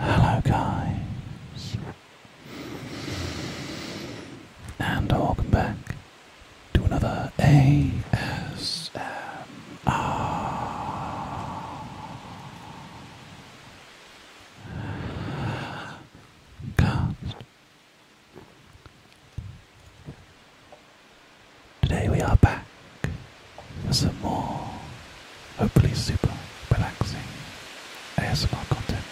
Hello, guys, and welcome back to another ASMR cast. Today we are back for some more, hopefully super relaxing ASMR content,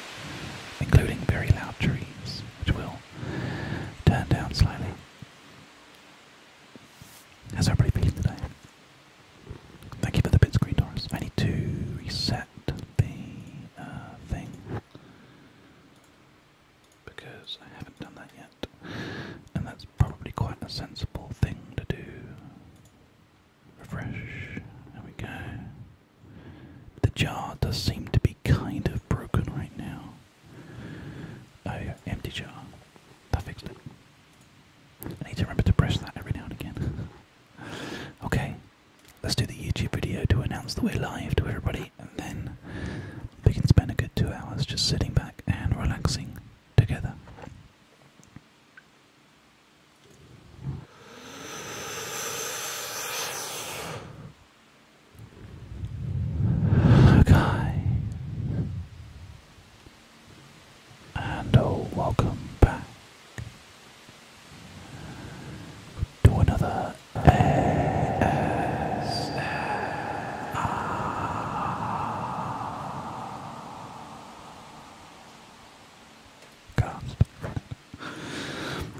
including very loud trees, which will turn down slightly. How's everybody feeling today? Thank you for the bit screen, Doris. I need to reset the uh, thing because I haven't done that yet, and that's probably quite a sensible thing to do Refresh. There we go. The jar does seem to be kind of broken right now. Oh, empty jar. That fixed it. I need to remember to press that every now and again. okay, let's do the YouTube video to announce that we're live to everybody, and then we can spend a good two hours just sitting back and relaxing together. Okay. And oh, welcome back to another ASMR Gasp.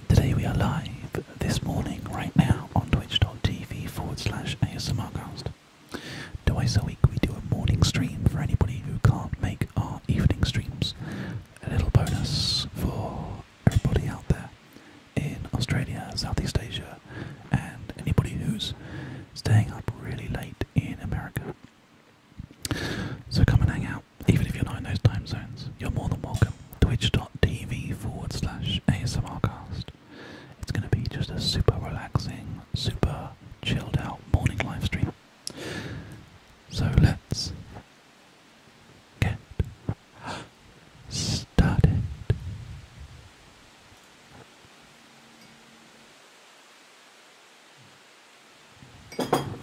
Today we are live this morning, right now, on twitch.tv forward slash ASMRcast. Twice a week we do a morning stream for anybody who can't make our evening streams. A little bonus for everybody out there in Australia, Southeast Asia, and anybody who's staying up really late in America. So come and hang out, even if you're not in those time zones. You're more than welcome. Twitch.tv forward slash ASMRcast. It's going to be just a super relaxing, super chilled out morning live stream. So let's get started.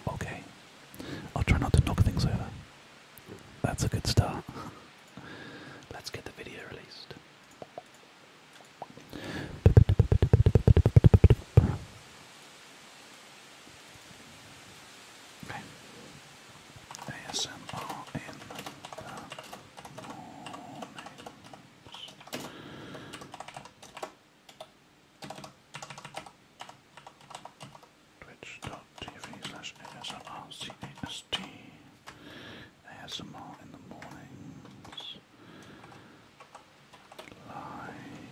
Okay. I'll try not to knock things over. That's a good start. Let's get the video released. Okay. ASMR in the mornings. Twitch.tv slash ASMRCAST ASMR in the mornings. Live.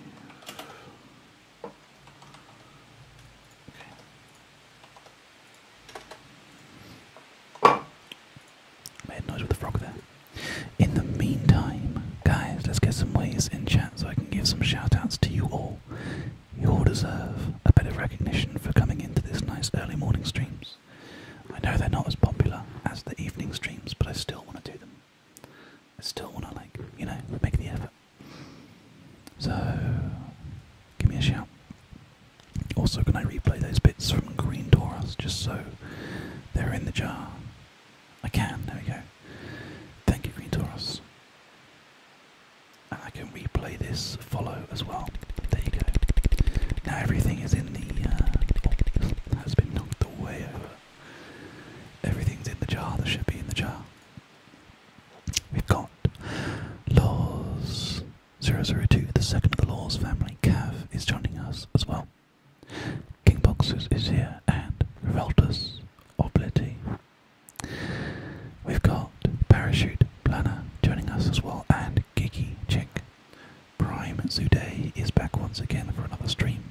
Made noise with the frog there. In the meantime, guys, let's get some ways in chat so I can give some shout outs to you all. You all deserve a bit of recognition for coming into these nice early morning streams. I know they're not as popular as the evening streams, but I still want to do them. I still want to, like, you know, make the effort. So, give me a shout. Also, can I replay those bits from Green Taurus just so they're in the jar I can, there we go. Thank you, Green Taurus. And I can replay this follow as well. There you go. Now everything is in the. Uh, has been knocked the way over. Everything's in the jar that should be in the jar. We've got Laws 002, the second of the Laws family. calf is joining us as well. King Boxus is here and Revoltus Oblity. We've got Parachute Planner joining us as well and Gigi Chick. Prime Zude is back once again for another stream.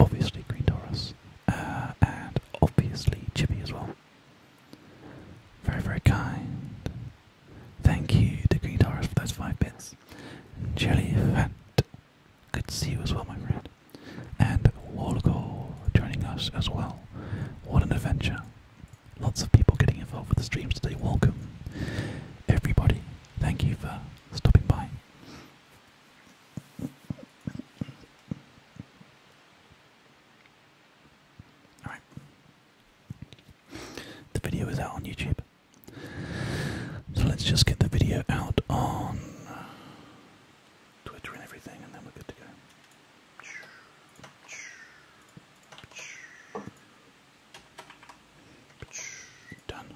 Obviously Green Taurus uh, and obviously Chippy as well. Very, very kind. Thank you to Green Taurus for those five bits. Jelly Fat Good to see you as well, my friend. And Wargo joining us as well. What an adventure. Lots of people getting involved with the streams today. Welcome, everybody. Thank you for stopping by. Alright. The video is out on YouTube. So let's just get the video out on Twitter and everything, and then we're good to go. Done.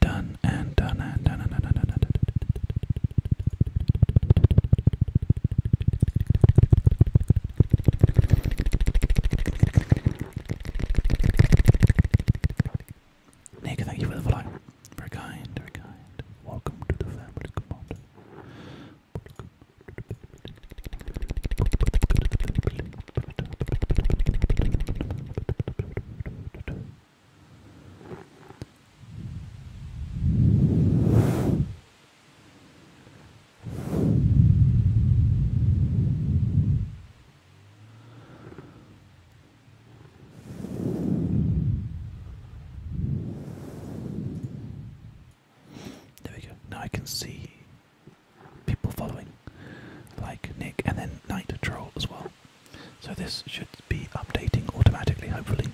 Done and done and done and done and done. And done. Nick, thank you for the follow. Very kind, very kind. Welcome to the family, commander. There we go. Now I can see people following, like Nick and then Night Troll as well. So this should be updating automatically, hopefully.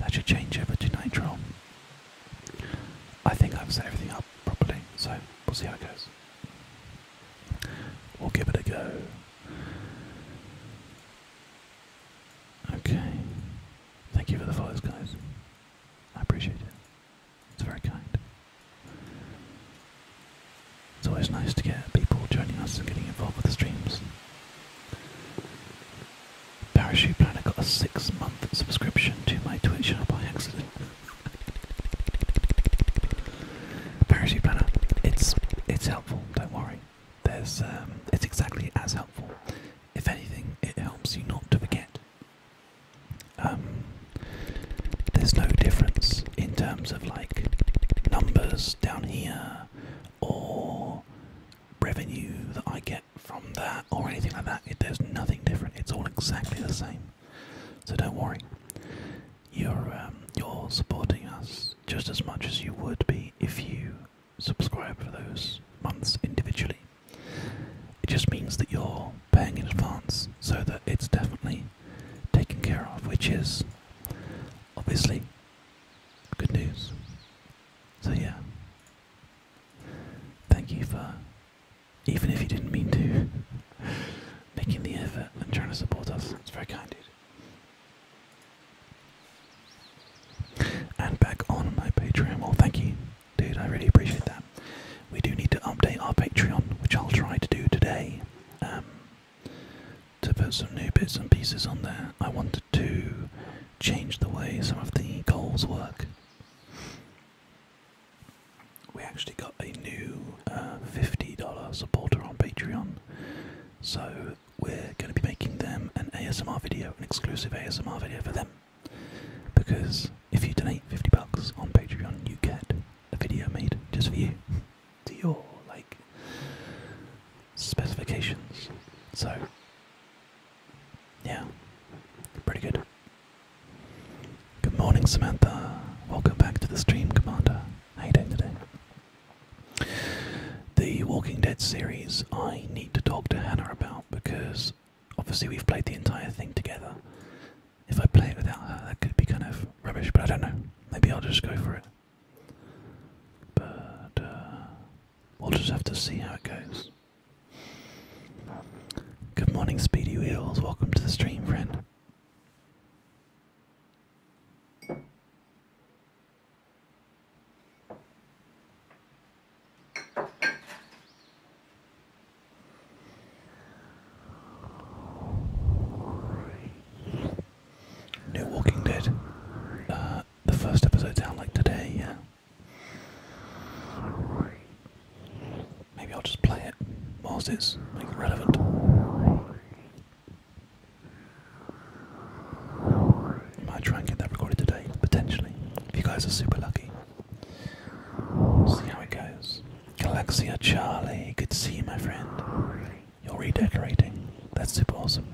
That should change over to Night Troll. I think I've set everything up properly, so we'll see how it goes. We'll give it a go. Okay. Thank you for the follows, guys. I appreciate it. It's very kind. It's always nice to get people joining us and getting involved with the streams. Parachute Planner got a six month subscription to my Twitch channel by accident. Parachute planner. It's it's helpful. Don't worry. There's um, it's exactly as helpful. If anything, it helps you not to forget. Um, there's no difference in terms of like numbers down here or revenue that I get from that or anything like that. It, there's nothing different. It's all exactly the same. So don't worry you're um, you're supporting us just as much as you would be if you subscribe for those months individually. It just means that you're paying in advance so that it's definitely taken care of, which is obviously good news. So, yeah, thank you for, even if you didn't mean to, making the effort and trying to support us. It's very kind, dude. And back on my Patreon. Well, thank you, dude. I really appreciate that. We do need to update our Patreon, which I'll try to do today. Um, to put some new bits and pieces on there, I wanted to change the way some of the goals work we actually got a new uh, $50 supporter on Patreon. So we're going to be making them an ASMR video, an exclusive ASMR video for them. Because if you donate 50 bucks on Patreon, you get a video made just for you to your like specifications. So yeah, pretty good. Good morning, Samantha. Welcome back to the stream, Commander. How you doing today? The Walking Dead series I need to talk to Hannah about because obviously we've played the entire thing together. If I play it without her, that could be kind of rubbish, but I don't know. Maybe I'll just go for it. But uh, we'll just have to see how it goes. Good morning, Speedy Wheels. Welcome to the stream, friend. New Walking Dead. Uh, the first episode's out like today, yeah. Maybe I'll just play it whilst it's relevant. might try and get that recorded today, potentially, if you guys are super lucky. See how it goes. Galaxia Charlie, good to see you, my friend. You're redecorating. That's super awesome.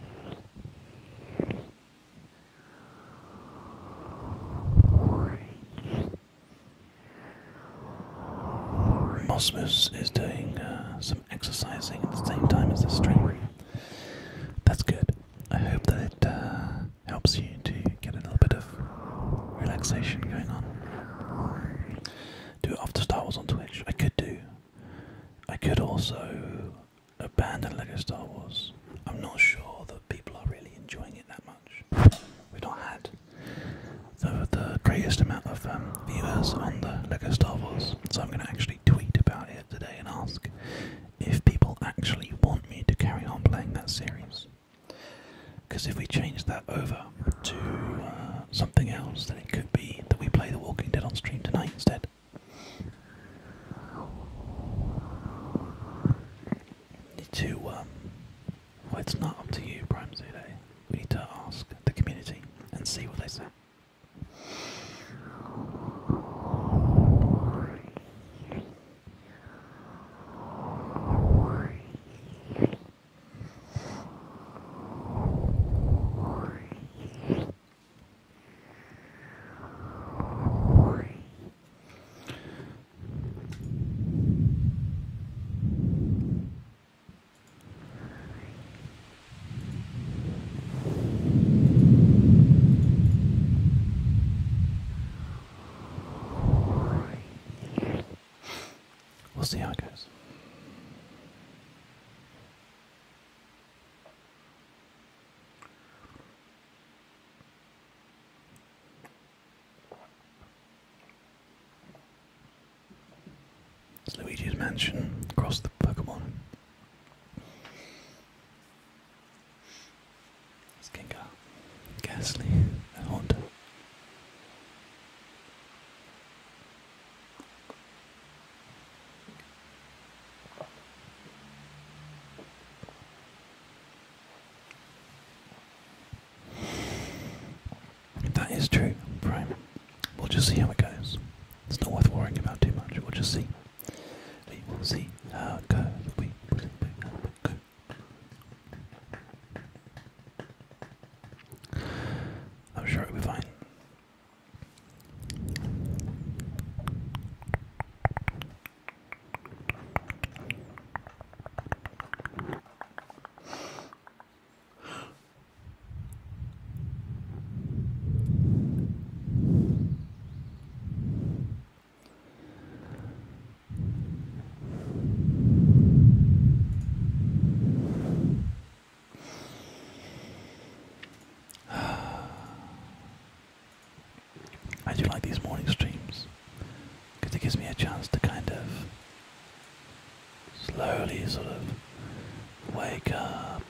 Osmus is doing uh, some exercising at the same time as the string. That's good. I hope that it uh, helps you to get a little bit of relaxation going on. Do it after Star Wars on Twitch. I could do. I could also abandon Lego Star Wars. I'm not sure that people are really enjoying it that much. We've not had the, greatest amount of um, viewers on the Lego Star Wars. So I'm going to actually tweet about it today and ask if people actually want me to carry on playing that series. Because if we change that over to uh, something else, then it could be that we play The Walking Dead on stream tonight instead. Need um, well, it's not up to you, Prime Zulu. We need to ask the community and see what they say. We'll see how it goes. It's Luigi's Mansion across the Pokemon. It's Gengar, Ghastly, and Haunter that is true, prime. We'll just see how it goes. It's not worth worrying about too much. We'll just see. We will see We will see how it goes. I'm sure it'll be fine. I do like these morning streams because it gives me a chance to kind of slowly sort of wake up,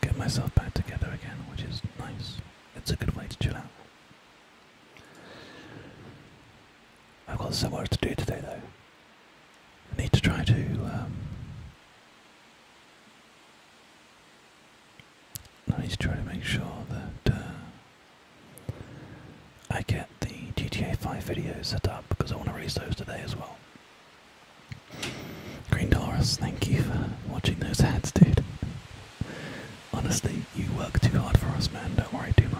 get myself back together again, which is nice. It's a good way to chill out. I've got some work to do today though. I need to try to um, need to try to make sure that uh, I get the GTA 5 video set up because I want to release those today as well. Green Doris, thank you for watching those ads, dude. Honestly, you work too hard for us, man. Don't worry too much.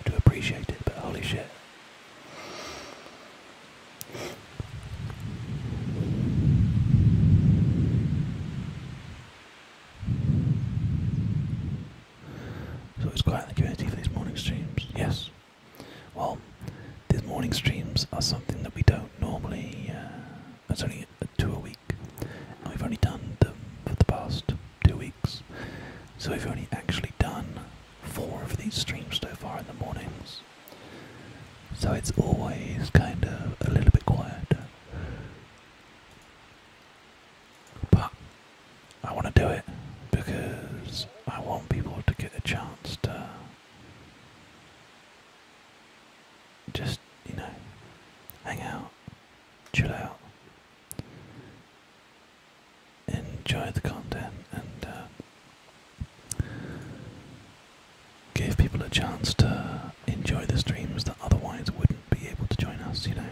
I do appreciate it, but holy shit. So it's quiet in the community for these morning streams. Yes. Well, these morning streams are something that we don't normally. Uh, it's only two a week, we've only done them for the past two weeks. So we've only actually done four of these streams so far in the mornings. So it's always kind of a little bit quieter. But I want to do it because I want people to get a chance to just, you know, hang out, chill out, enjoy the content, and uh, give people a chance to enjoy the streams that otherwise wouldn't be able to join us, you know.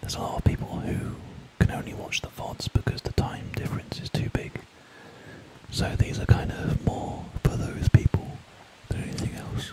There's a lot of people who can only watch the VODs because the time difference is too big. So these are kind of more for those people than anything else.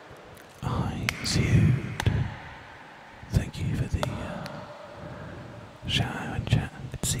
Hi, Zeud. Thank you for the uh, and chat. Good to see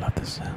Love the sound.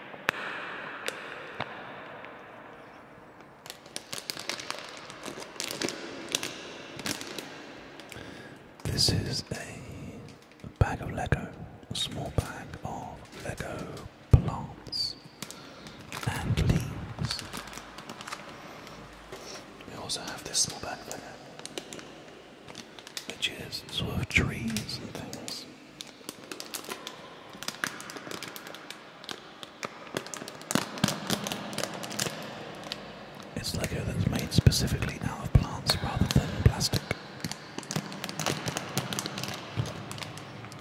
This is a bag of Lego, a small bag of Lego plants and leaves. We also have this small bag of Lego that you just swerve trees and things. It's Lego that's made specifically out of plants rather than plastic.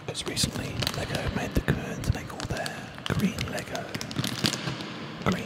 Because recently Lego made the curve to make all their green Lego green.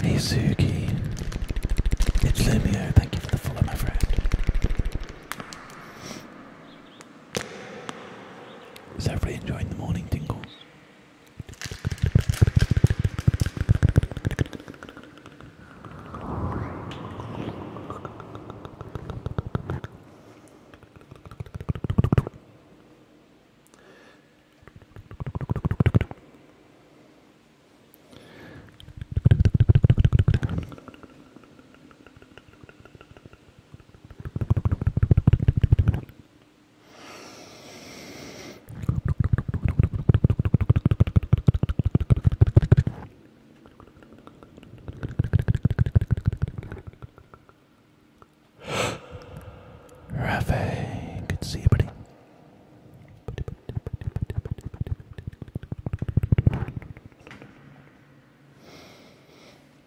Hey Suki, it's Lumio, thank you for the follow my friend. Is everybody enjoying the morning tingles? Rafe, good to see you, buddy.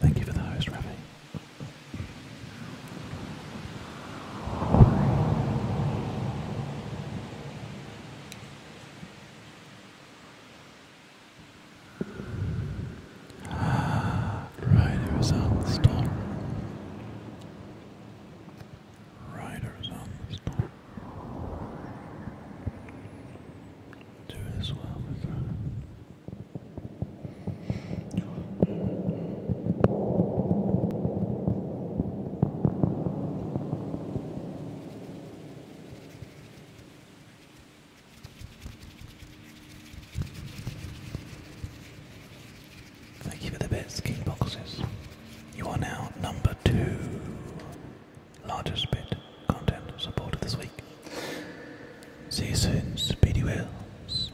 Thank you for the host, Ravi. Ah, on the storm. Ryder on the storm. Do this well Thank you for the best key boxes. You are now number two largest bit content supported this week. See you soon, Speedy Wheels.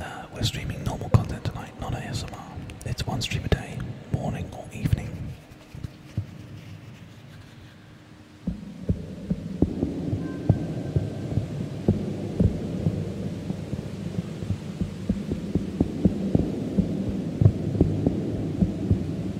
Uh, we're streaming normal content tonight, not ASMR. It's one stream a day, morning or evening.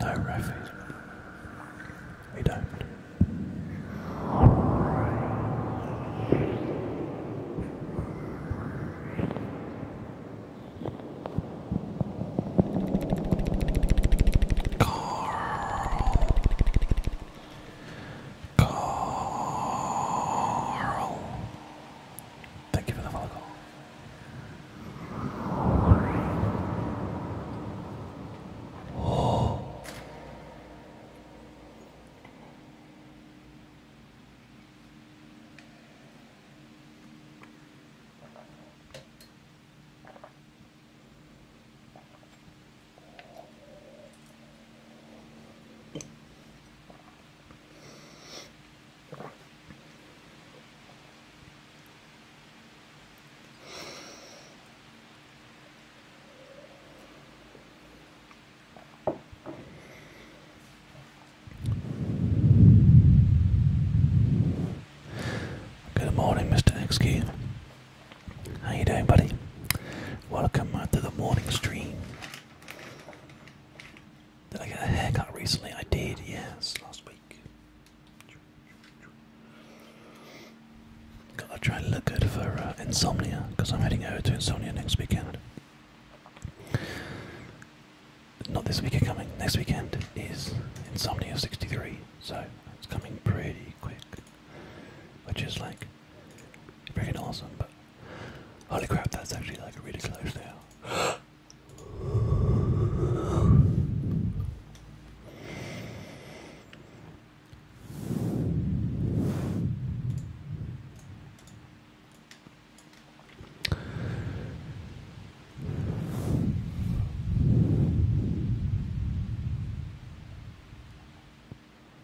No, Rafi. We don't. Carl. Carl. Thank you for the follow call. Oh. Good morning, Mr. Exkey. How you doing, buddy? Welcome to the morning stream. Did I get a haircut recently? I did, yes, last week. Gotta try and look good for uh, insomnia because I'm heading over to insomnia next weekend. Not this weekend coming, next weekend is insomnia 63, so it's coming pretty quick, which is like freaking awesome. Holy crap, that's actually like really close now.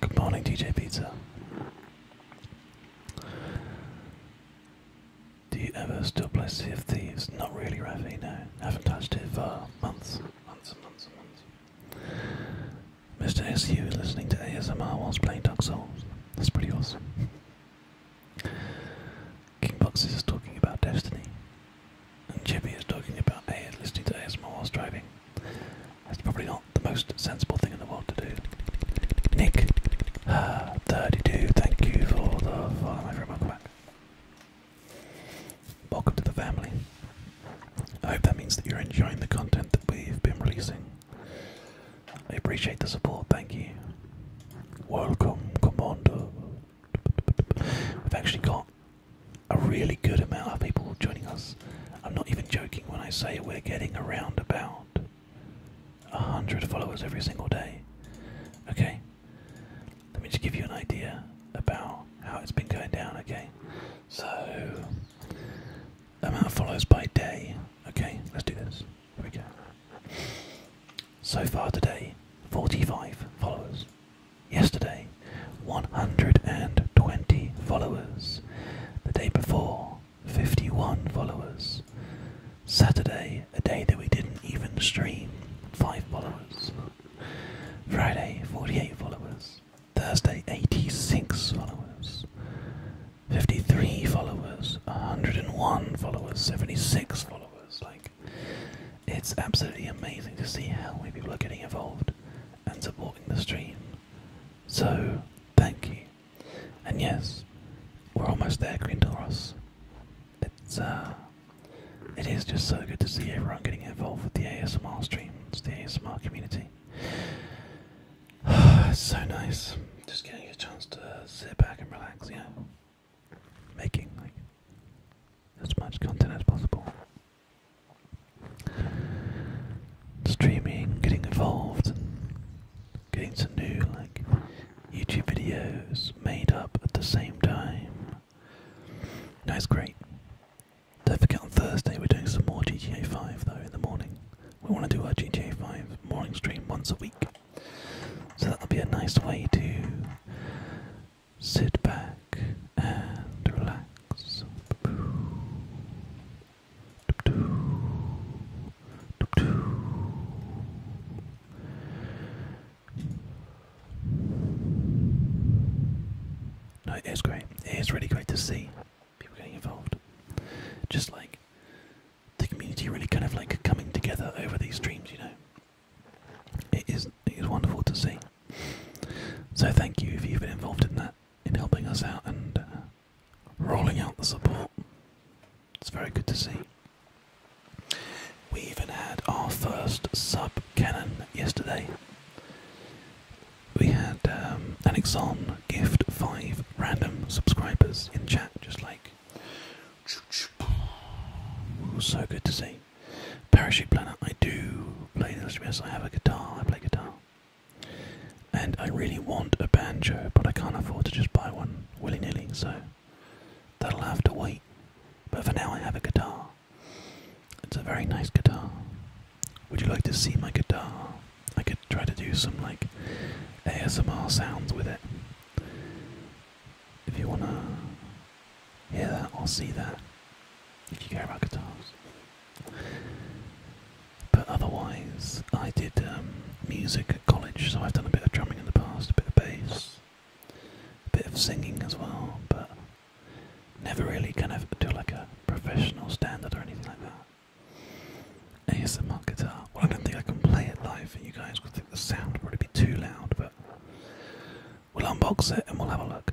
Good morning, DJ Pizza. Do you ever still play Sea of Thieves? Not really, Ravi, no. Haven't touched it for months. Months and months and months. Mr. SU is listening to ASMR whilst playing Dark Souls. That's pretty awesome. King Boxes is talking about Destiny. And Chippy is talking about A listening to ASMR whilst driving. That's probably not the most sensible thing in the world to do. Nick, uh, 32, thank you for the follow, my Welcome back. Welcome to the family. I hope that means that you're enjoying the content that we've been releasing. I appreciate the support, thank you. Welcome, Commander. We've actually got a really good amount of people joining us I'm not even joking when I say we're getting around about 100 followers every single day. Okay? Let me just give you an idea about how it's been going down, okay? So, amount of follows by day. Okay, let's do this. Here we go. So far today, 45 followers. Yesterday, 120 followers. The day before, 51 followers. Saturday, a day that we didn't even stream, 5 followers. Friday, 48 followers. Thursday, 86 followers. 53 followers, 101 followers, 76 followers. Like, it's absolutely amazing to see how many people are getting involved and supporting the stream. So, thank you. And yes, we're almost there, Grindelros. It's uh, it is just so good to see everyone getting involved with the ASMR streams, the ASMR community. it's so nice, just getting a chance to sit back and relax. Yeah, making like as much content as possible streaming, getting involved, and getting some new like YouTube videos made up at the same time. That's great. Don't forget on Thursday we're doing some more GTA 5 though in the morning. We want to do our GTA 5 morning stream once a week. So that'll be a nice way to sit back and relax. No, it's great. It's really great to see people getting involved. Just like the community really kind of like coming together over these dreams. you know. It is it is wonderful to see. So thank you if you've been involved in that, in helping us out and uh, rolling out the support. It's very good to see. We even had our first sub cannon yesterday. We had um, an Exxon gift five random subscribers in chat, just like. So good to see. Parachute Planet, I do play the instruments. I have a guitar, I play guitar. And I really want a banjo, but I can't afford to just buy one willy nilly, so that'll have to wait. But for now, I have a guitar. It's a very nice guitar. Would you like to see my guitar? I could try to do some like ASMR sounds with it. If you want to hear that or see that, if you care about guitars. But otherwise, I did um, music at college, so I've done a bit of drumming in the past, a bit of bass, a bit of singing as well, but never really kind of do like a professional standard or anything like that. ASMR guitar. Well, I don't think I can play it live for you guys because think the sound would probably be too loud, but we'll unbox it and we'll have a look.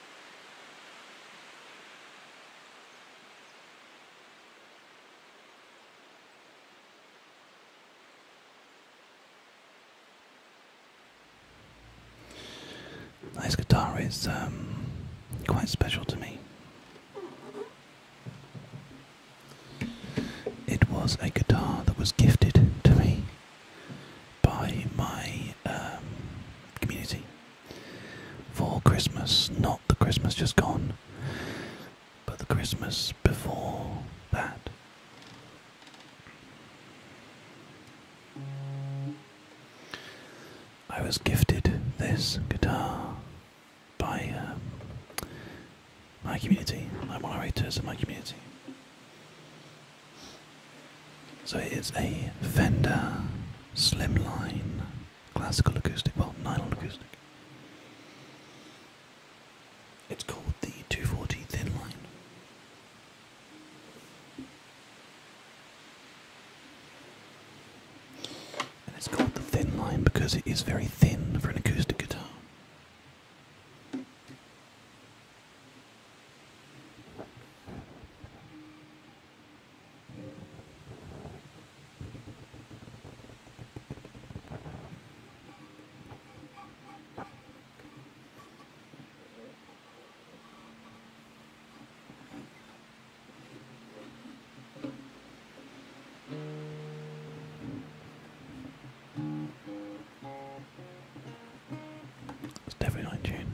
This guitar is um, quite special to me. It was a guitar that was gifted to me by my um, community for Christmas, not the Christmas just gone, but the Christmas before that. I was gifted this guitar by um, my community, my moderators in my community. So it is a Fender Slimline Classical Acoustic, well, nylon acoustic. It's called the 240 Thinline, And it's called the Thinline because it is very thin for an acoustic guitar. It's definitely on tune.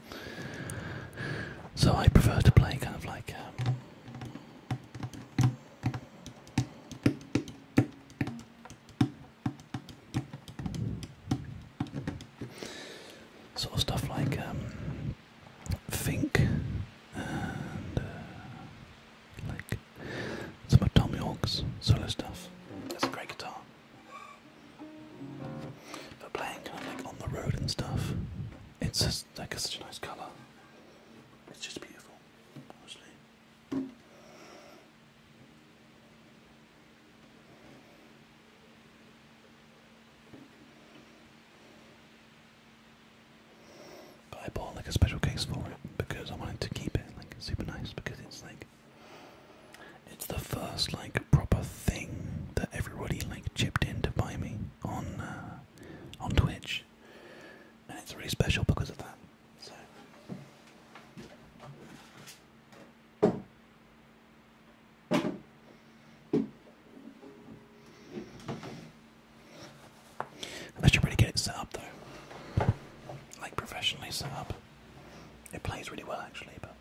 So I prefer to play kind of like. Um, sort of stuff like um, Fink and uh, like some of Tom York's solo stuff. That's a great guitar. But playing kind of like on the road and stuff, it's just like such a nice colour. It's just beautiful, I bought like a special case for it because I wanted to keep it like super nice because it's like it's the first like proper thing that everybody like chipped in to buy me on uh, on Twitch, and it's really special because of that. I should really get it set up though, like professionally set up. It plays really well actually, but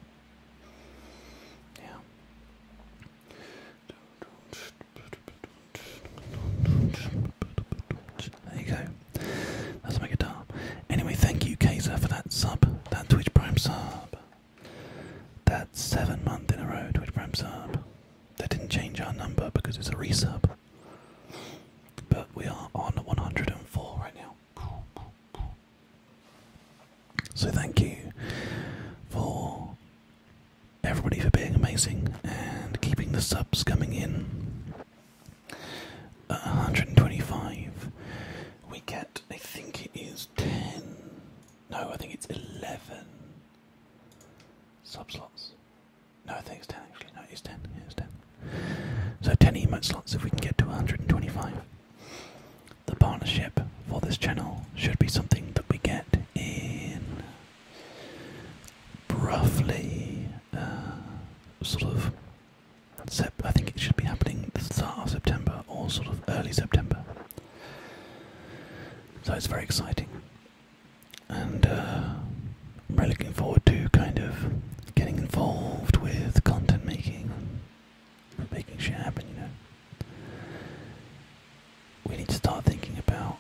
yeah. There you go. That's my guitar. Anyway, thank you, Kaiser, for that sub, that Twitch Prime sub. That's seven month in a row, Twitch Prime sub. They didn't change our number because it's a resub. But we are on 104 right now. So thank you for everybody for being amazing and keeping the subs coming in. 125, we get, I think it is 10. No, I think it's 11 sub slots. No, I think it's 10 actually. No, it's 10. it's 10. So 10 emote slots if we can get to 125. The partnership for this channel should be something that we get in roughly uh, sort of. I think it should be happening the start of September or sort of early September. So it's very exciting. And uh, i really looking forward to kind of getting involved with content making making shit happen, you know. We need to start thinking about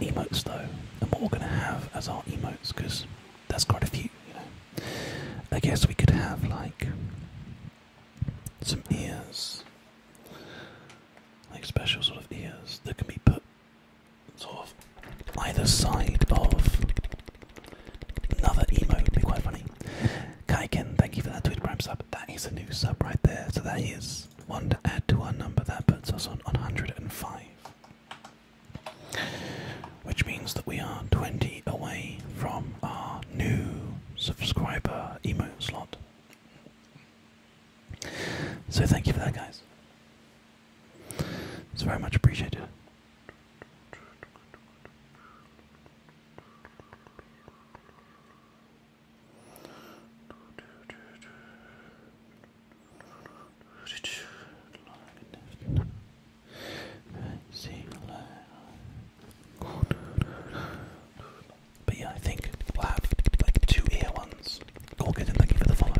emotes though, and what we're going to have as our emotes, because that's quite a few, you know. I guess we could have like some ears, like special sort of ears that can be put sort of either side of another emote. would be quite funny. Kaiken, thank you for that Twitch Prime sub. That is a new sub right there. So that is one to add to our number. That puts us on 105. Which means that we are 20 away from our new subscriber emote slot. So thank you for that, guys. It's very much appreciated. But yeah, I think we like two ear ones. All for the follow.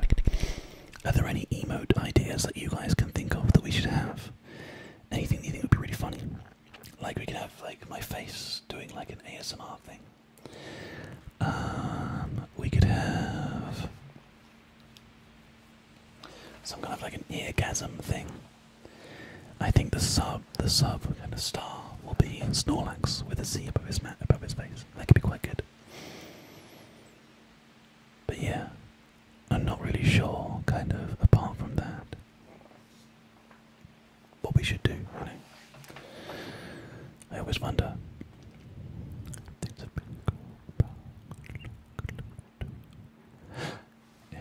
Are there any emote ideas that you guys can think of that we should have? Anything you think would be really funny? Like we could have like my face doing like an ASMR thing. Um, we could have some kind of like an eargasm thing. I think the sub, the sub kind of star will be Snorlax with a Z above his mat above his face. That could be quite good. But yeah, I'm not really sure. Kind of apart from that what we should do. I always wonder.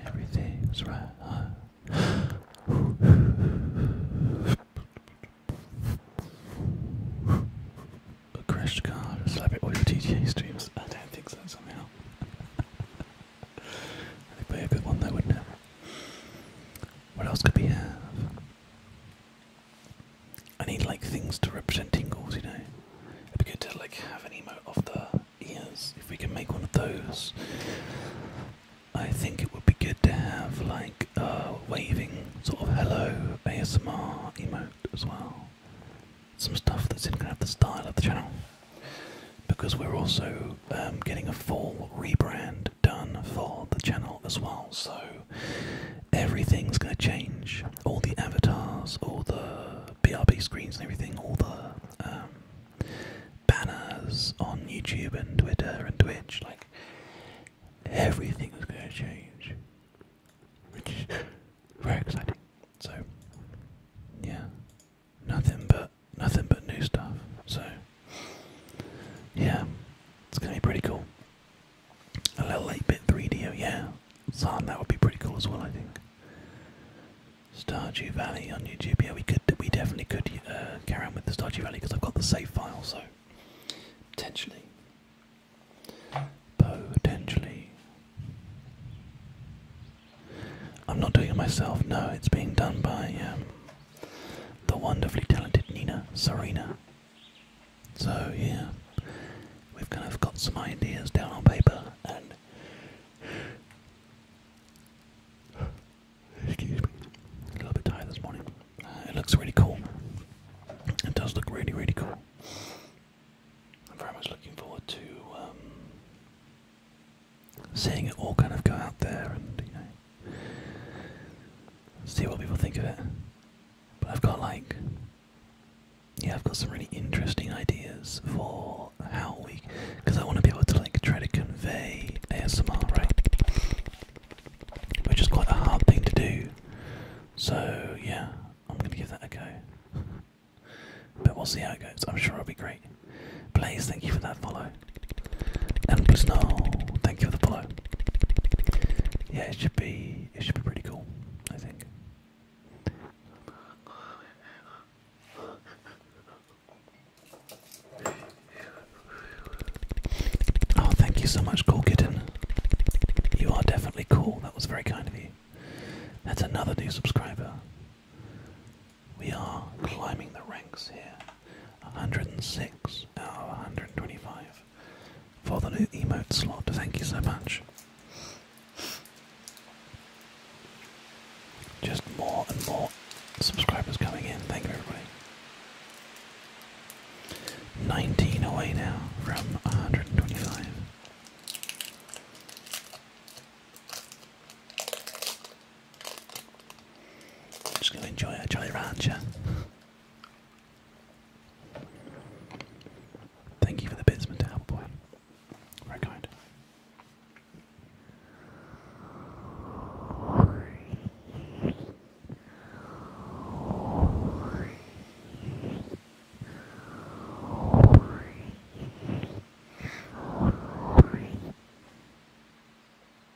Everything's right. A crashed car. Celebrate all your TTA streams. I don't think so. Somehow. That'd be a good one, though, wouldn't what else could we have? I need like things to represent tingles, you know. It'd be good to like have an emote of the ears. If we can make one of those, I think it would be good to have like a waving sort of hello ASMR emote as well. Some stuff that's in kind of the style of the channel because we're also um, getting a full rebrand done for the channel as well. So everything's going to change. All the avatars, all the BRB screens and everything, all the um, banners on YouTube and Twitter and Twitch, like everything's going to change. Which is very exciting. So, yeah nothing but nothing but new stuff. So yeah, it's gonna be pretty cool. A little 8-bit 3D, yeah. Son, that would be pretty cool as well, I think. Stardew Valley on YouTube. Yeah, we could, we definitely could uh, carry on with the Stardew Valley because I've got the save file, so potentially, potentially. I'm not doing it myself. No, it's being done by um, the wonderfully talented Nina Serena. So, yeah, we've kind of got some ideas down on paper and. Excuse me, a little bit tired this morning. Uh, it looks really cool. It does look really, really cool. I'm very much looking forward to um, seeing it all kind of go out there and see what people think of it. But I've got like yeah, I've got some really interesting ideas for how we because I want to be able to like try to convey ASMR, right? Which is quite a hard thing to do. So yeah, I'm gonna give that a go. But we'll see how it goes. I'm sure it'll be great. Please thank you for that follow. And Snow, thank you for the follow. Yeah, it should be it should be pretty cool, I think. Oh, thank you so much, Cool Kitten. You are definitely cool. That was very kind of you. That's another new subscriber. We are climbing the ranks here. 106 out of 125 for the new emote slot. Thank you so much. Just more and more subscribers coming in. Thank you, everybody. 19 away now from 125. I'm just going to enjoy it, a Jolly Rancher. Thank you for the bits, Mr. Appleboy. Very kind.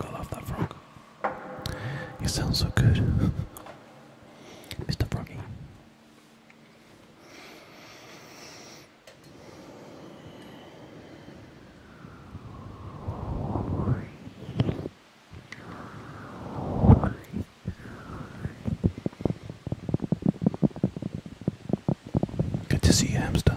I love that frog. He sounds so good. Mr. Froggy. Good to see you, hamster.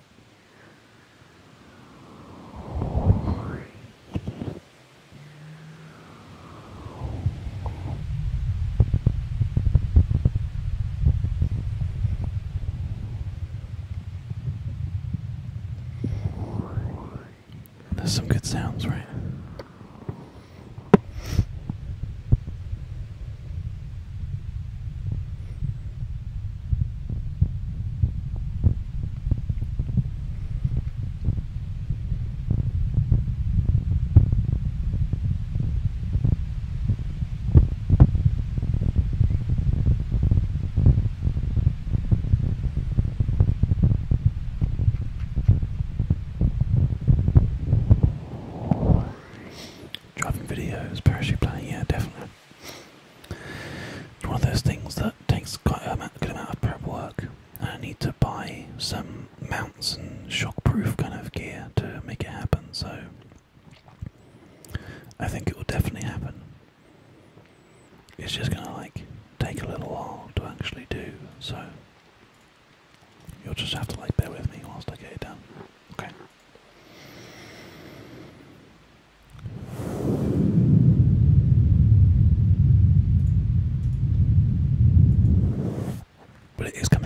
There's some good sounds, right? Driving videos, parachute planning, yeah, definitely. It's one of those things that takes quite a good amount of prep work. And I need to buy some mounts and shockproof kind of gear to make it happen, so I think it will definitely happen. It's just gonna like take a little while to actually do, so you'll just have to like bear with me whilst I get it done. Okay. But it is coming.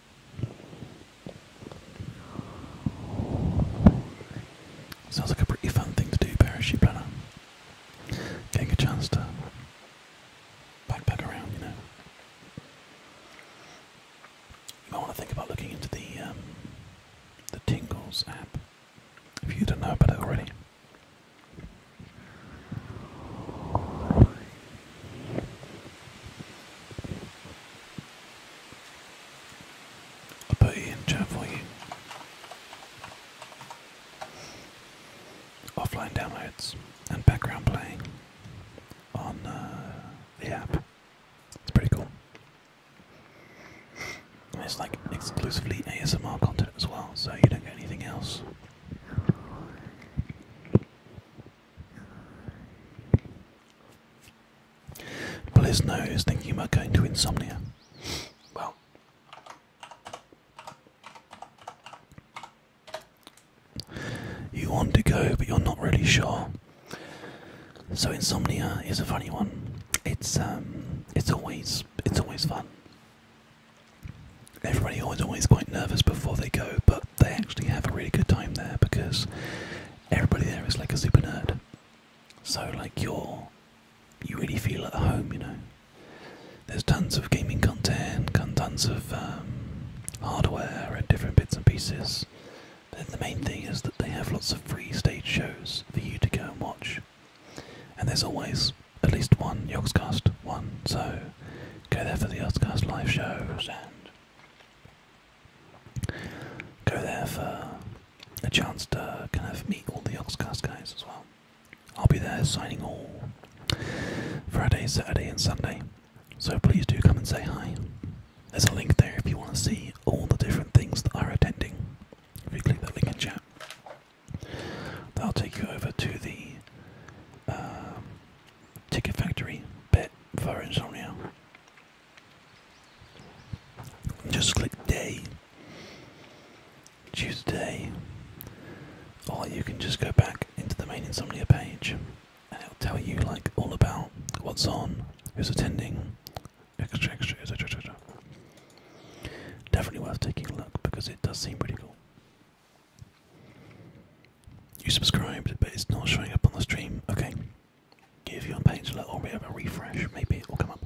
Sounds like a pretty fun thing to do, parachute planner. Getting a chance to backpack around, you know. You might want to think about looking into the um, the Tingles app if you don't know about it already. I'll put it in chat for you. Offline downloads and background playing on uh, the app. It's pretty cool. it's like exclusively ASMR content as well, so you don't get anything else. Bliz knows thinking about going to insomnia. Well, you want to go, but you're not really sure. So insomnia is a funny one. It's um, it's always it's always fun. Everybody always always quite nervous before they go, but they actually have a really good time there because everybody there is like a super nerd. So like you're you really feel at home, you know. There's tons of gaming content, tons of um, hardware and different bits and pieces. But the main thing is that they have lots of free stage shows for you to go and watch. And there's always at least one Yogscast one, so go there for the Yogscast live shows and Go there for a chance to kind of meet all the Oxcast guys as well. I'll be there signing all Friday, Saturday, and Sunday. So please do come and say hi. There's a link there if you want to see all the different things that are attending. If you click that link in chat, that'll take you over to the uh, Ticket Factory bit for Insomnia. Just click day, Tuesday. or you can just go back into the main insomnia page and it'll tell you like all about what's on, who's attending, extra, extra, etc. etc. Definitely worth taking a look because it does seem pretty cool. You subscribed, but it's not showing up on the stream. Okay, Give your page a little bit of a refresh, maybe it will come up.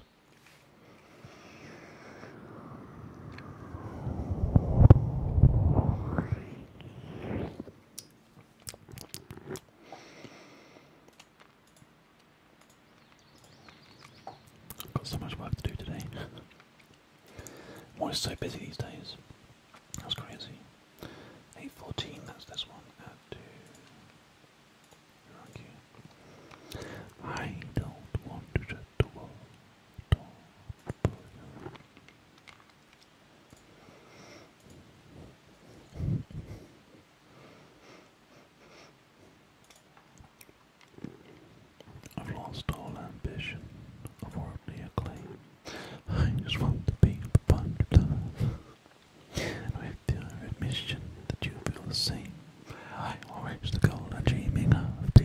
I've got so much work to do today. I'm so busy these days. That's crazy. 814, that's this one. Uh, I don't want to I've lost all ambition of worldly acclaim. I just want to be a bunch of and with the admission that you feel the same, I always the goal I'm dreaming of. Do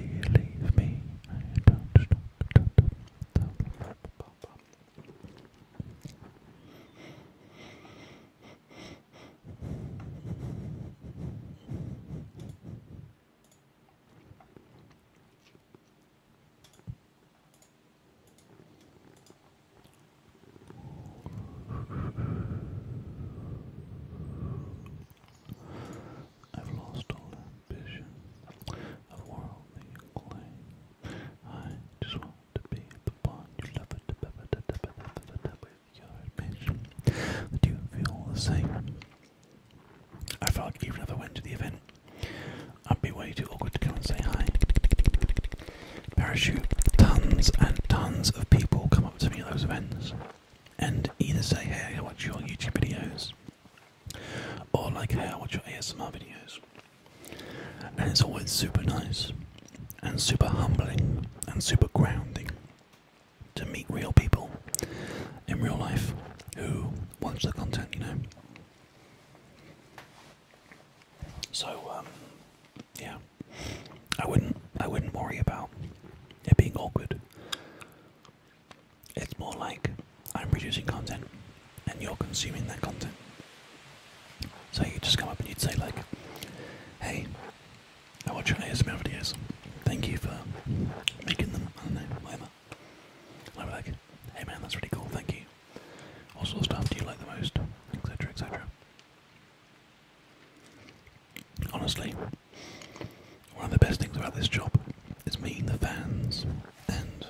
me? I don't stop, I've lost all ambition of worldly claim. I just want to be the one you love it, that you feel the same. I felt like even if I went to the event, I'd be way too awkward to come and say hi. Parachute. Tons and tons of people come up to me at those events and either say, hey, I watch your YouTube videos or like, hey, I watch your ASMR videos. And it's always super nice and super humbling and super grounding to meet real people in real life who watch the content, you know. So um, yeah, I wouldn't I wouldn't worry about it being awkward. It's more like I'm producing content and you're consuming that content. So you just come up and you'd say like, "Hey, I watch your ASMR videos. Thank you for making them. I don't know, whatever." And I'd like, "Hey man, that's really cool. Thank you." What sort of stuff do you like the most? Etc. Etc. Honestly, one of the best things about this job is meeting the fans and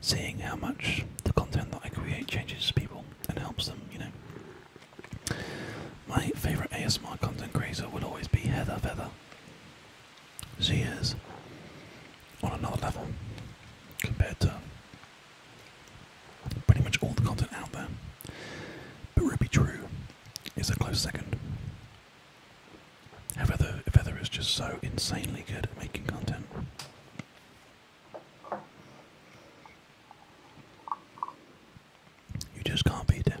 seeing how much the content that I create changes people and helps them, you know. My favourite ASMR content creator would always be Heather Feather. She is on another level compared to Pretty much all the content out there. But Ruby True is a close second. Feather, Feather is just so insanely good at making content. You just can't beat it.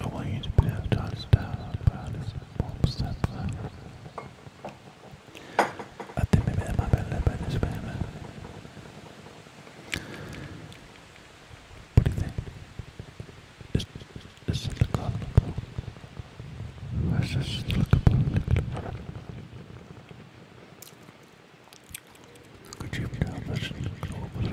I want you to be able to understand how this I think maybe that might be a little bit this What do you think? Is, is it lookable? Is this lookable? Could you help us look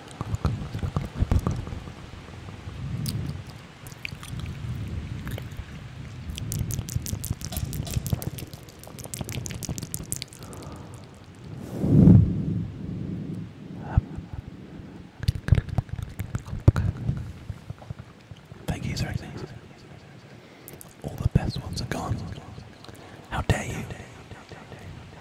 Thank you, sir. All the best ones are gone. How dare you?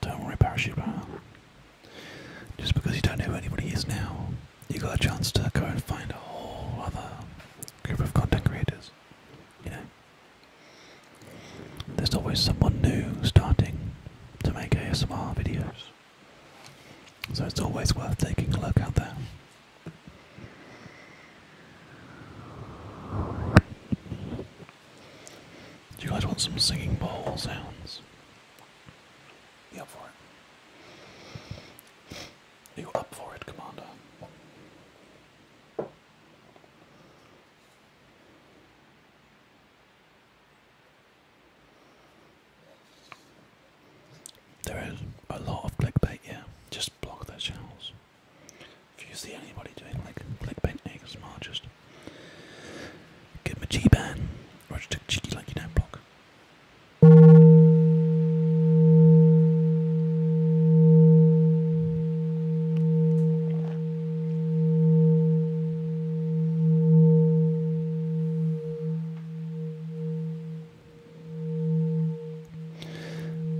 Don't worry, parachute man. Just because you don't know who anybody is now, you got a chance to go and find a whole other group of content creators. You know. There's always someone new starting to make ASMR videos. So it's always worth taking a look out there. Do you guys want some singing bowl sounds? You up for it? Are you up for it, Commander? There is a lot of clickbait, yeah. Just block those channels. If you see anybody doing like clickbait ASMR, just give them a G ban or just a cheeky like you don't block.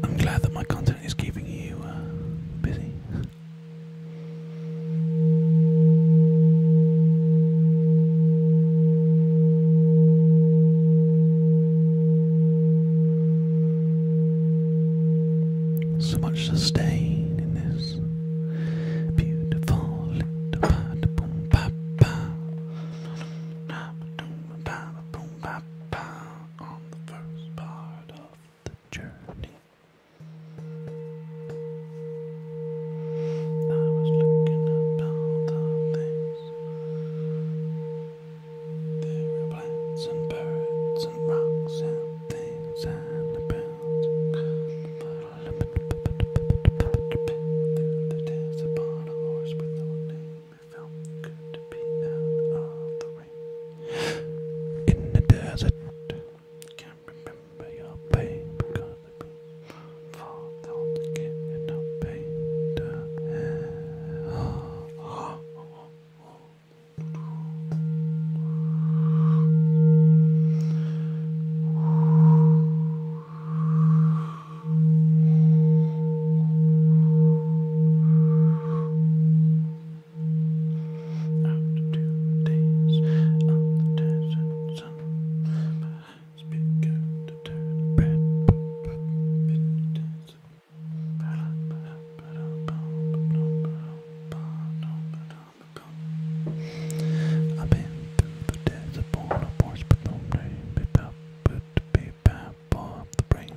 I'm glad that my content is keeping you uh, busy. So much sustain in this beautiful little ba boom ba ba. on the first part of the journey. I was looking at all the things there are plants and birds and rocks and things and abounds. There danced upon a horse with no name. It felt good to be out of the rain. In the desert, can't remember your pain because the fall down again and no pain. Oh, oh, oh. After two days on the desert sun, my eyes to turn red. But, but, I've been through the desert born a horse, but no name. Bit up, but be bad, up the brain.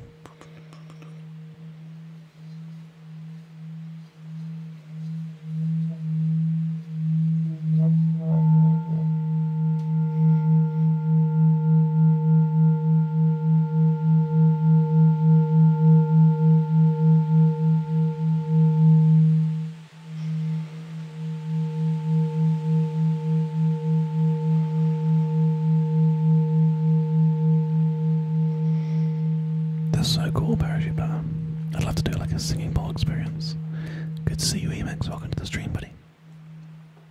That's so cool, Parachute Banner. I'd love to do like a singing ball experience. Good to see you, Emacs. Welcome to the stream, buddy.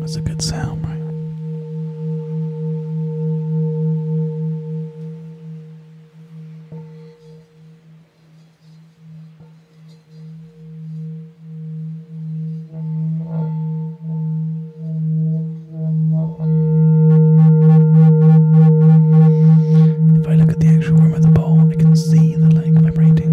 That's a good sound, right? If I look at the actual rim of the bowl, I can see the leg vibrating.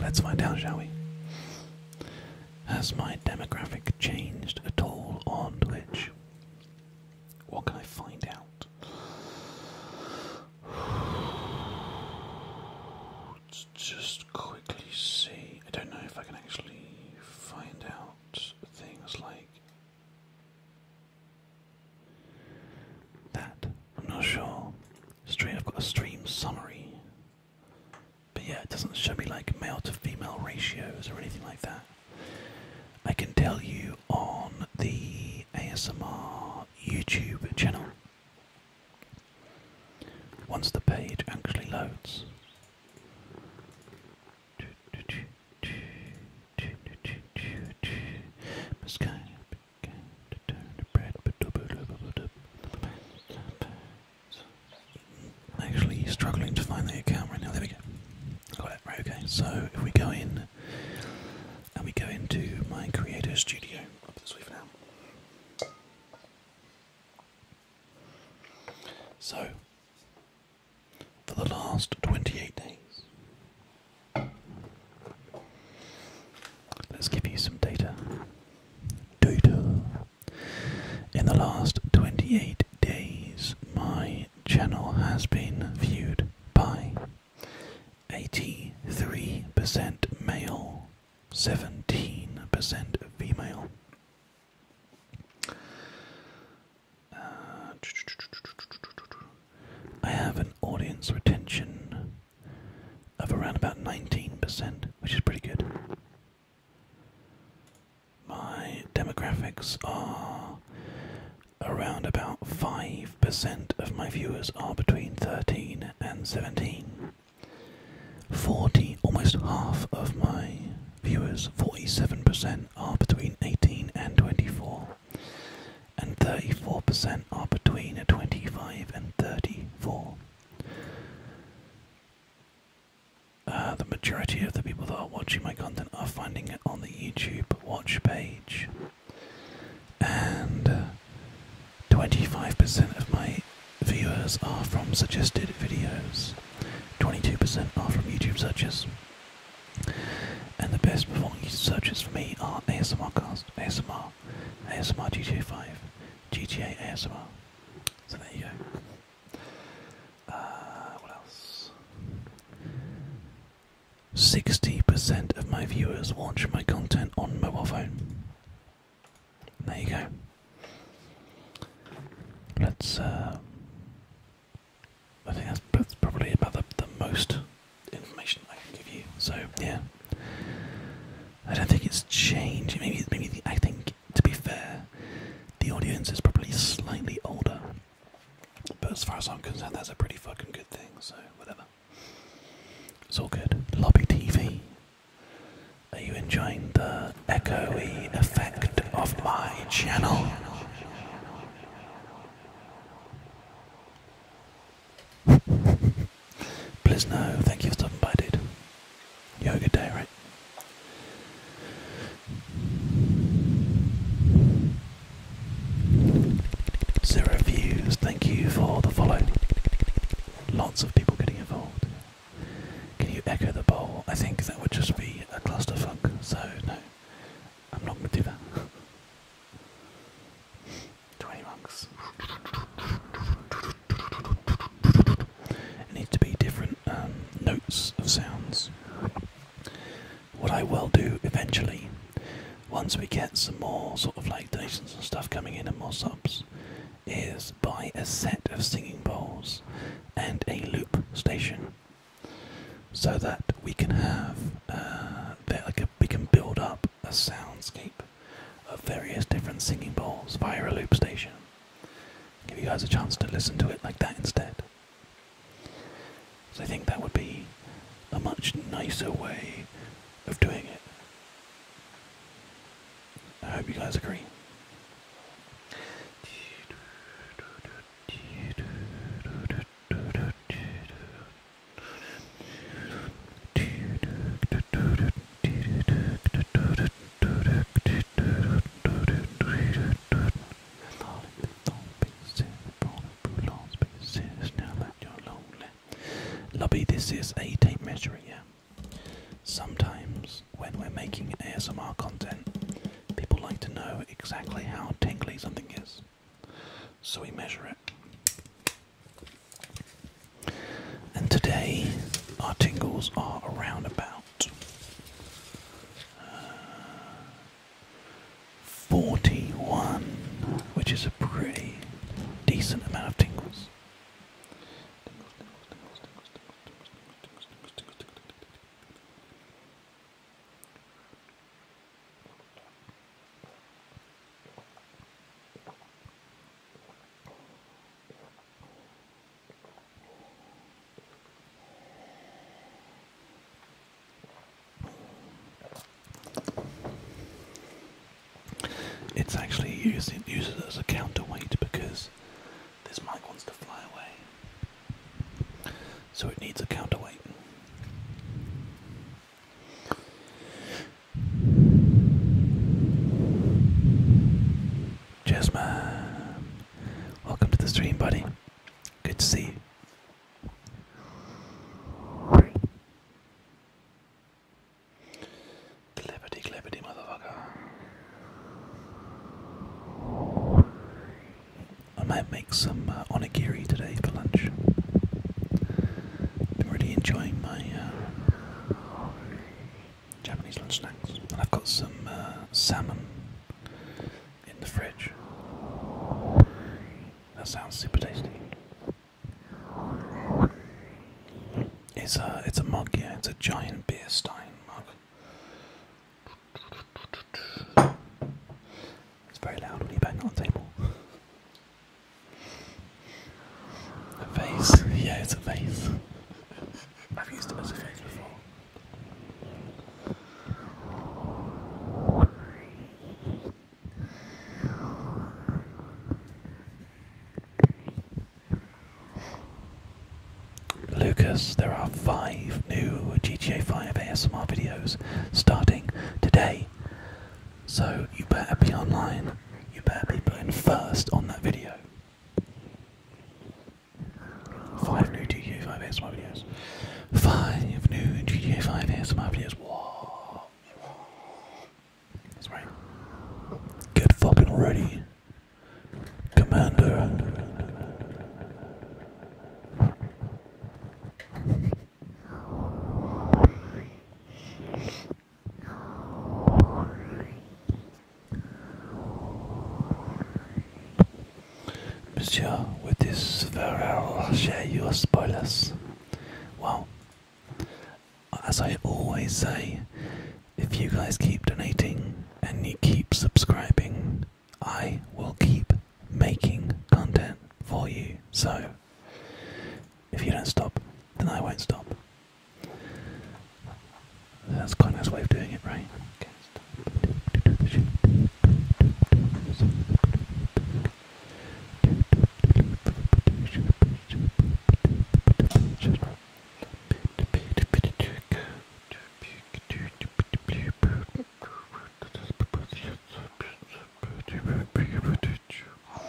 Let's find out, shall we? Has my demographic changed at all on Twitch? What can I find out? just quickly see. I don't know if I can actually find out things like that. I'm not sure. Stream, I've got a stream summary. But yeah, it doesn't show me like male to female ratios or anything like that. I can tell you on the ASMR YouTube channel once the page actually loads to turn Actually, struggling to find the account right now. There we go. Got it. Right. Okay. So if we go in and we go into my creator studio So for the last twenty-eight days. Let's give you some data. Data. In the last 28 days, my channel has been viewed by 83% male, 17% female. Uh, I have an audience retention of around about 19%, which is pretty good. My demographics are around about 5% of my viewers are between 13 and 17. 40, almost half of my viewers, 47%, are between 18 and 24. And 34% are between 25 and 34. Uh, the majority of the people that are watching my content are finding it on the YouTube watch page, and 25% uh, of my viewers are from suggested videos, 22% are from YouTube searches, and the best performing YouTube searches for me are ASMR ASMRcast, ASMR, ASMR, GTA 5, GTA ASMR. So there you go. Uh, what else? 60% of my viewers watch my content on mobile phone. There you go. Let's, uh, I think that's, probably about the most information I can give you. So, yeah. I don't think it's changed. Maybe, maybe the, I think to be fair, the audience is probably slightly older. But as far as I'm concerned, that's a pretty fucking good thing. So whatever, it's all good. Lobby TV. Are you enjoying the echoey effect of my channel? Please no, thank you for stopping by, dude. You have a good day, right? Zero views, thank you for the follow. Lots of people getting involved. Can you echo the bowl? I think that would just be a clusterfuck, so no, I'm not going to do that. 20 monks. It needs to be different um, notes of sounds. What I will do eventually, once we get some more sort of like donations and stuff coming in and more subs, is buy a set of singing bowls and a loop station so that we can have uh, that like a, we can build up a soundscape of various different singing bowls via a loop station. Give you guys a chance to listen to it like that instead. So I think that would be a much nicer way of doing it. I hope you guys agree. Lobby, this is a tape measure, yeah. Sometimes when we're making ASMR content, people like to know exactly how tingly something is. So we measure it. And today our tingles are around about uh, 41, which is a pretty decent amount of tingles. It's actually used it uses as a counterweight because this mic wants to fly away. So it needs a counterweight. Jasmine, welcome to the stream, buddy. Good to see you. Clippity, motherfucker. I might make some uh, onigiri today for lunch. really enjoying my uh, Japanese lunch snacks. And I've got some uh, salmon in the fridge. That sounds super tasty. It's a it's a mug, yeah. It's a giant beer stein mug. It's very loud when you bang on the table. A face. Yeah, it's a face. I've used it as a face before. Lucas, there are five new GTA 5 ASMR videos starting today. So you better be online. You better be putting first on that video. Five new GTA 5 ASMR Five new GTA 5 ASMR videos. That's right. Get fucking ready. Commander. Monsieur, with this farewell, I'll share your spoilers. Well, as I always say, if you guys keep donating and you keep subscribing, I will keep making content for you. So, if you don't stop, then I won't stop. That's quite a nice way of doing it, right? Can't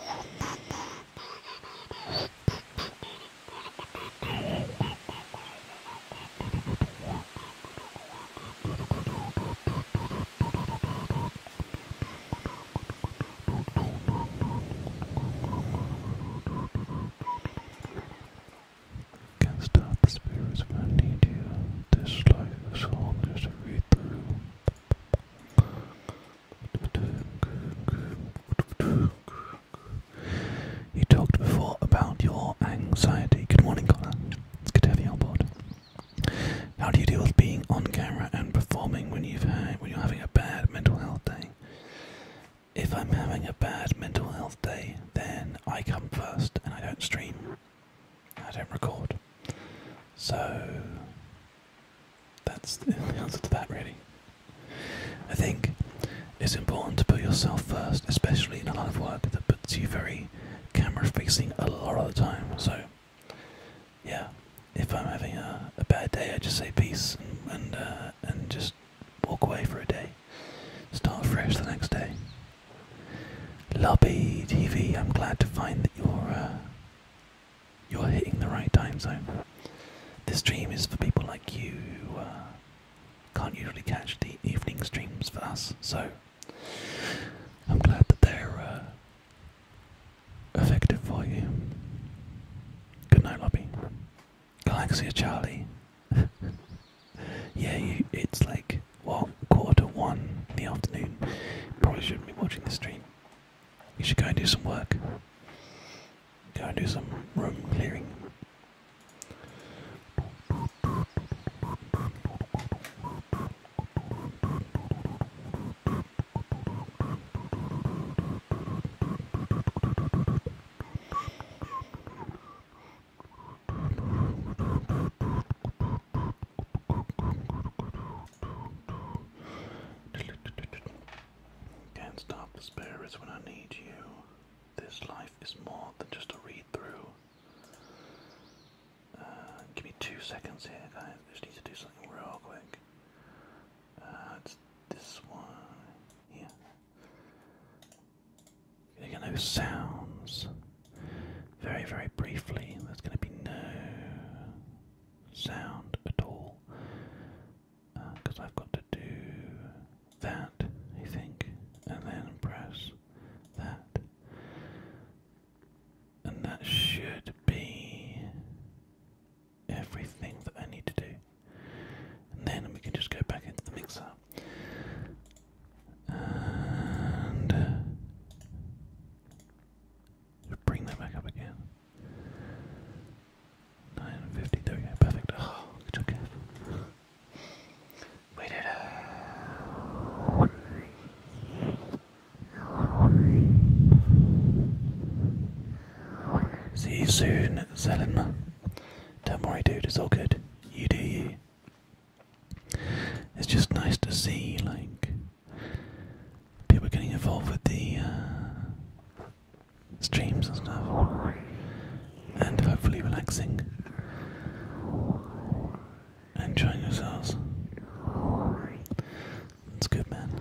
stop the spirits when I need you. This life is all there's to read you talked before about your anxiety. Good morning, Connor. It's good to have you on board. How do you deal with being on camera and performing when you've when you're having a bad mental health day? If I'm having a bad mental health day, then I come first and I don't stream. I don't record. So that's the answer to that, really. I think it's important to put yourself first, especially in a lot of work that puts you very camera facing a lot of the time. So, yeah, if I'm having a, bad day, I just say peace and uh, and, just walk away for a day. Start fresh the next day. Lobby TV, I'm glad to find that you're uh, you're hitting the right time zone. This stream is for people like you who uh, can't usually catch the evening streams for us, so I'm glad that they're uh, effective for you. Good night, Lobby. Galaxia Charlie. yeah, you, it's like, what, quarter to one in the afternoon. Probably shouldn't be watching the stream. You should go and do some work go and do some room clearing. Can't stop the spirits when I need you. This life is more than just a read through. Uh, give me two seconds here, guys. I just need to do something real quick. Uh, this one here. You're going sounds. Very, very briefly, there's gonna be no sound at all because I've got to do that, I think, and then press that. And that should be everything that I need to do. And then we can just go back into the mixer bring that back up again. 950, perfect. Oh, good We did it. See you soon, Zelim. Don't worry, dude, it's all good. You do you. It's just nice to see, like, people getting involved with the uh, streams and stuff, and hopefully relaxing. Enjoying yourselves. That's good, man.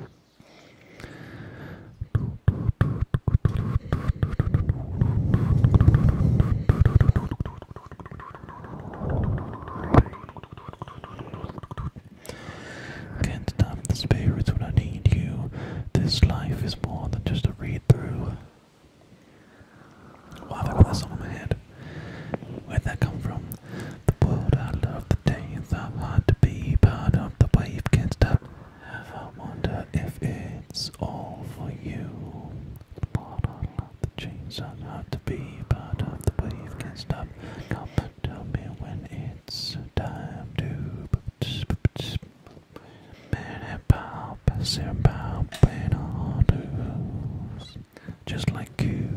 Can't stop the spirits when I need you. This life is more than just a read through. Wow, I got that song in my head. Where'd that come from? The world I love, the days are hard to be part of. The wave can't stop. I wonder if it's all for you. The world I love, the chains are hard to be part of. The wave can't stop. Come tell me when it's time to. Just like you.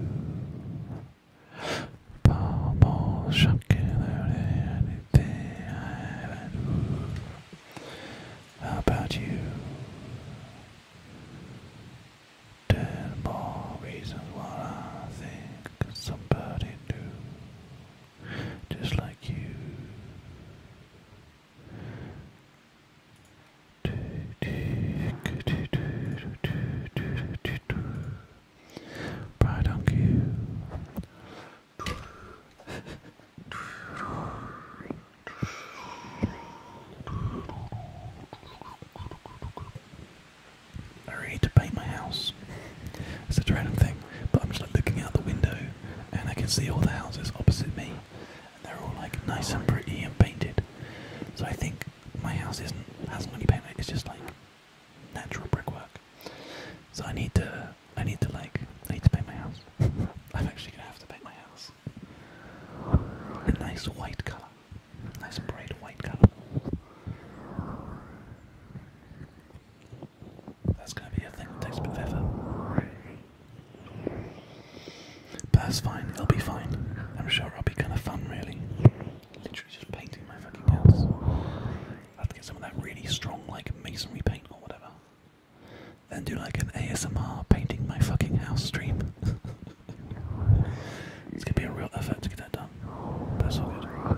Bubble shocking out anything I had. How about you? Ten more reasons why I think somebody knew just like you. Right on cue. I need to paint my house. It's a random thing, but I'm just like looking out the window and I can see all the houses opposite me. And they're all like nice and pretty and painted. So I think my house isn't hasn't really painted, it's just like natural brickwork. So I need to I need to like I need to paint my house. I'm actually gonna have to paint my house. A nice white colour. Nice bright white colour. That's going to be a thing that takes a bit of effort. But that's fine, it'll be fine. I'm sure it'll be kind of fun, really. Literally just painting my fucking house. I have to get some of that really strong, like, masonry paint or whatever. Then do like an ASMR painting my fucking house stream. it's gonna be a real effort to get that done. But all good.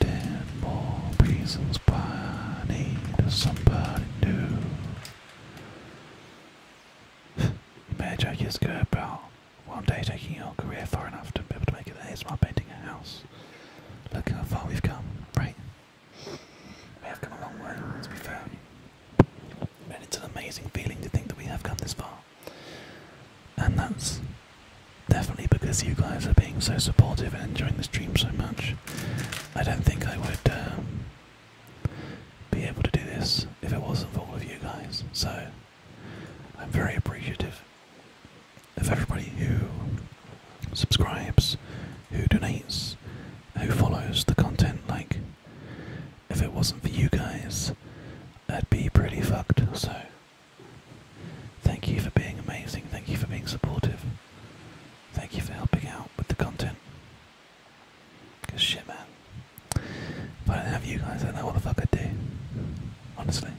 Ten more reasons why I need somebody new. Imagine just about one day taking your career far enough to be able to make it an ASMR painting a house. Look how far we've come, right? We have come a long way, to be fair. And it's an amazing feeling to think that we have come this far. And that's definitely because you guys are being so supportive and enjoying the stream so much. I don't think I would um, be able to do this if it wasn't for all of you guys. So I'm very appreciative of everybody who subscribes, who donates, who follows the content. Like if it wasn't for you guys, I'd be pretty fucked. So, thank you for being amazing. Thank you for being supportive. Thank you for helping out with the content. Cause shit, man. If I didn't have you guys, I don't know what the fuck I'd do. Honestly.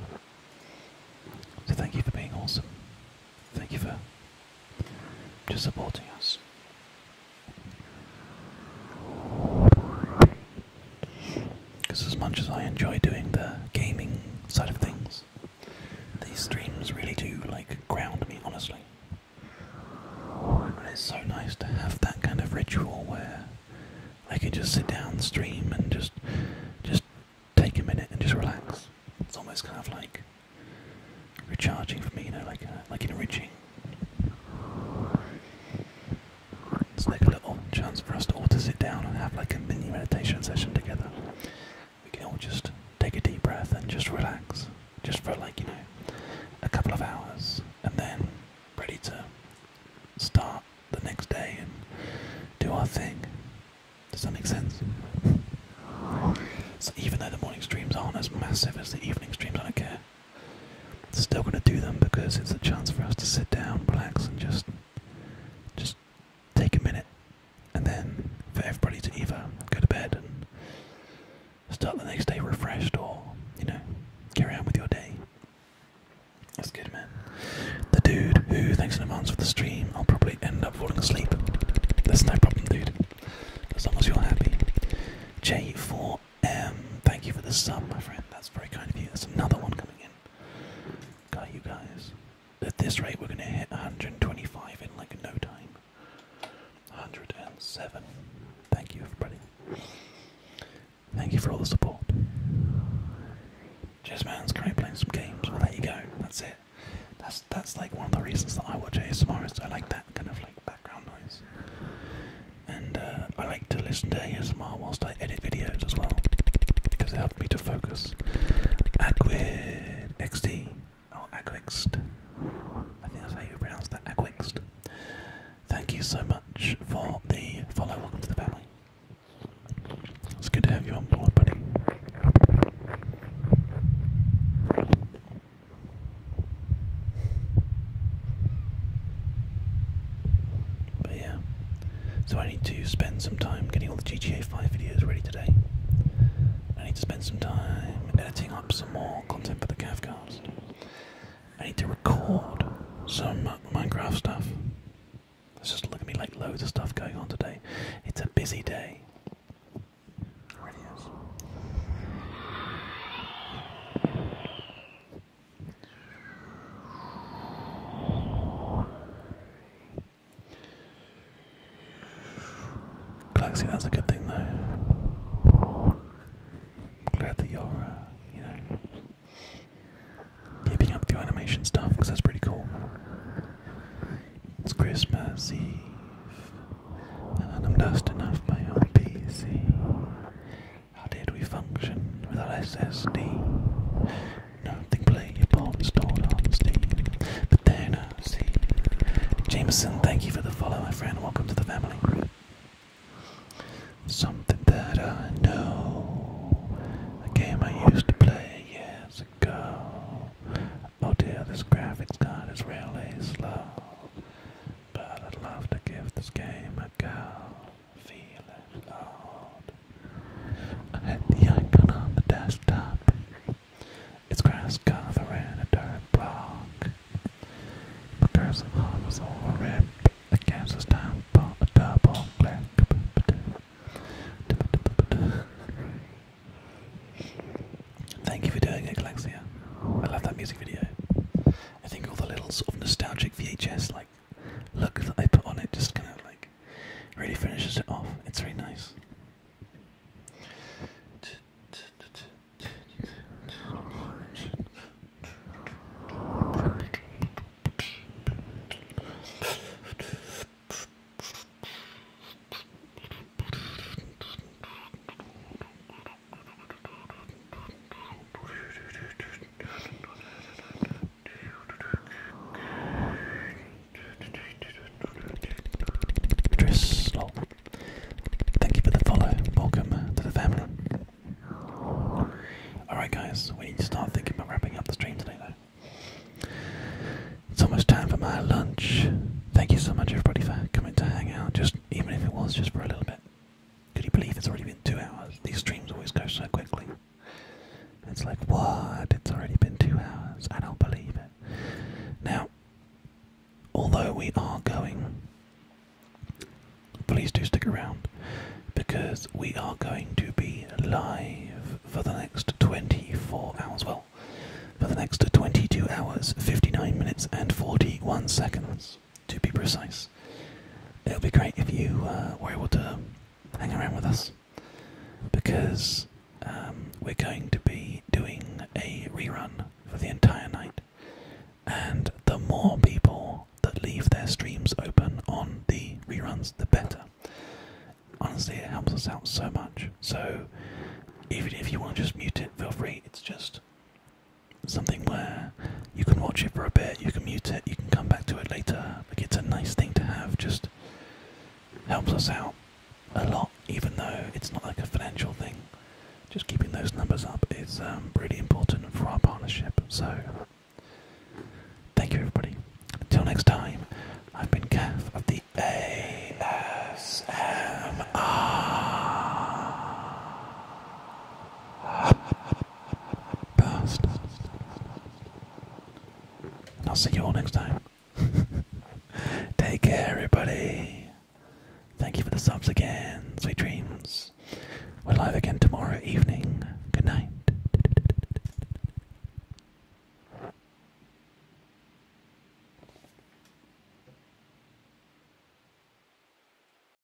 So thank you for being awesome. Thank you for just supporting us. Because as much as I enjoy doing the gaming side of things, these streams really do like ground me, honestly. And it's so nice to have that kind of ritual where I can just sit down, stream, and just just take a minute and just relax. It's almost kind of like recharging for me, you know, like uh, like enriching. It's like a little chance for us all to sit down and have like a mini meditation session together. We can all just take a deep breath and just relax, just for like, you know, a couple of hours, and then ready to start the next day and do our thing. Does that make sense? So even though the morning streams aren't as massive as the evening streams, I don't care. Still gonna do them because it's a chance for us to sit down, relax, and just just take a minute, and then for everybody to either go to bed and start the next day refreshed, or you know, carry on with your day. That's good, man. The dude who thanks in advance for the stream, I'll probably end up falling asleep. There's no problem, dude. As long as you're happy. J4 um, thank you for the sub, my friend. That's very kind of you. There's another one coming in. Got you guys. At this rate, we're going to hit 125 in like no time. 107. Thank you, everybody. Thank you for all the support. Just man's great playing some games. Well, there you go. That's it. That's that's like one of the reasons that I watch ASMR is I like that kind of like background noise. And uh, I like to listen to ASMR whilst I edit videos as well because it helps me to focus. Aquid XD or Aquext. I think that's how you pronounce that. Aquext. Thank you so much for the follow. Welcome to the family. It's good to have you on board, buddy. But yeah, so I need to spend some time getting all the GTA 5 videos ready today. I need to spend some time editing up some more content for the CAFcast. I need to record some Minecraft stuff. Let's just look at me like loads of stuff going on today. It's a busy day. It really is. Galaxy, that's a good thing though. glad that you're, uh, you know, keeping up your animation stuff because that's pretty cool. It's Christmas Eve, and I'm dusting off my old PC. How did we function without SSD? Nothing playable stored on Steam. But then I see. Jameson, thank you for the follow, my friend. Welcome to the family. Something that I know. A game I used to play years ago. Oh dear, this graphics card is really slow. But I'd love to give this game a go. Feeling old. I hit the icon on the desktop. It's grass covering a dirt block. The curse of was all rip. The game's this time for a double Thank you for doing it, Galexia. I love that music video. I think all the little sort of nostalgic VHS like look that I put on it just kind of like really finishes it off. It's really nice. Idris, oh. Thank you for the follow. Welcome to the family. Alright, guys, we need to start thinking about wrapping up the stream today, though. It's almost time for my lunch. Thank you so much, everybody, for coming to hang out, just even if it was just for a little bit. Could you believe it's already been two hours? These streams always go so quickly. It's like, what? It's already been two hours. I don't believe it. Now, although we are going, please do stick around because we are going to be live for the next 24 hours. Well, for the next 22 hours, 59 minutes, and 41 seconds to be precise. It would be great if you uh, were able to hang around with us because um, we're going to be doing a rerun for the entire night. And the more people that leave their streams open on the reruns, the better. Honestly, it helps us out so much. So, even if you want to just mute it, feel free. It's just something where you can watch it for a bit, you can mute it, you can come back to it later. Like it's a nice thing to have, just helps us out a lot, even though it's not like a financial thing. Just keeping those numbers up is um, really important for our partnership. So, thank you everybody. Until next time, I've been Cav of the ASMR bastard. I'll see you all next time. Take care, everybody. Thank you for the subs again. Sweet dreams. We're live again tomorrow evening. Good night.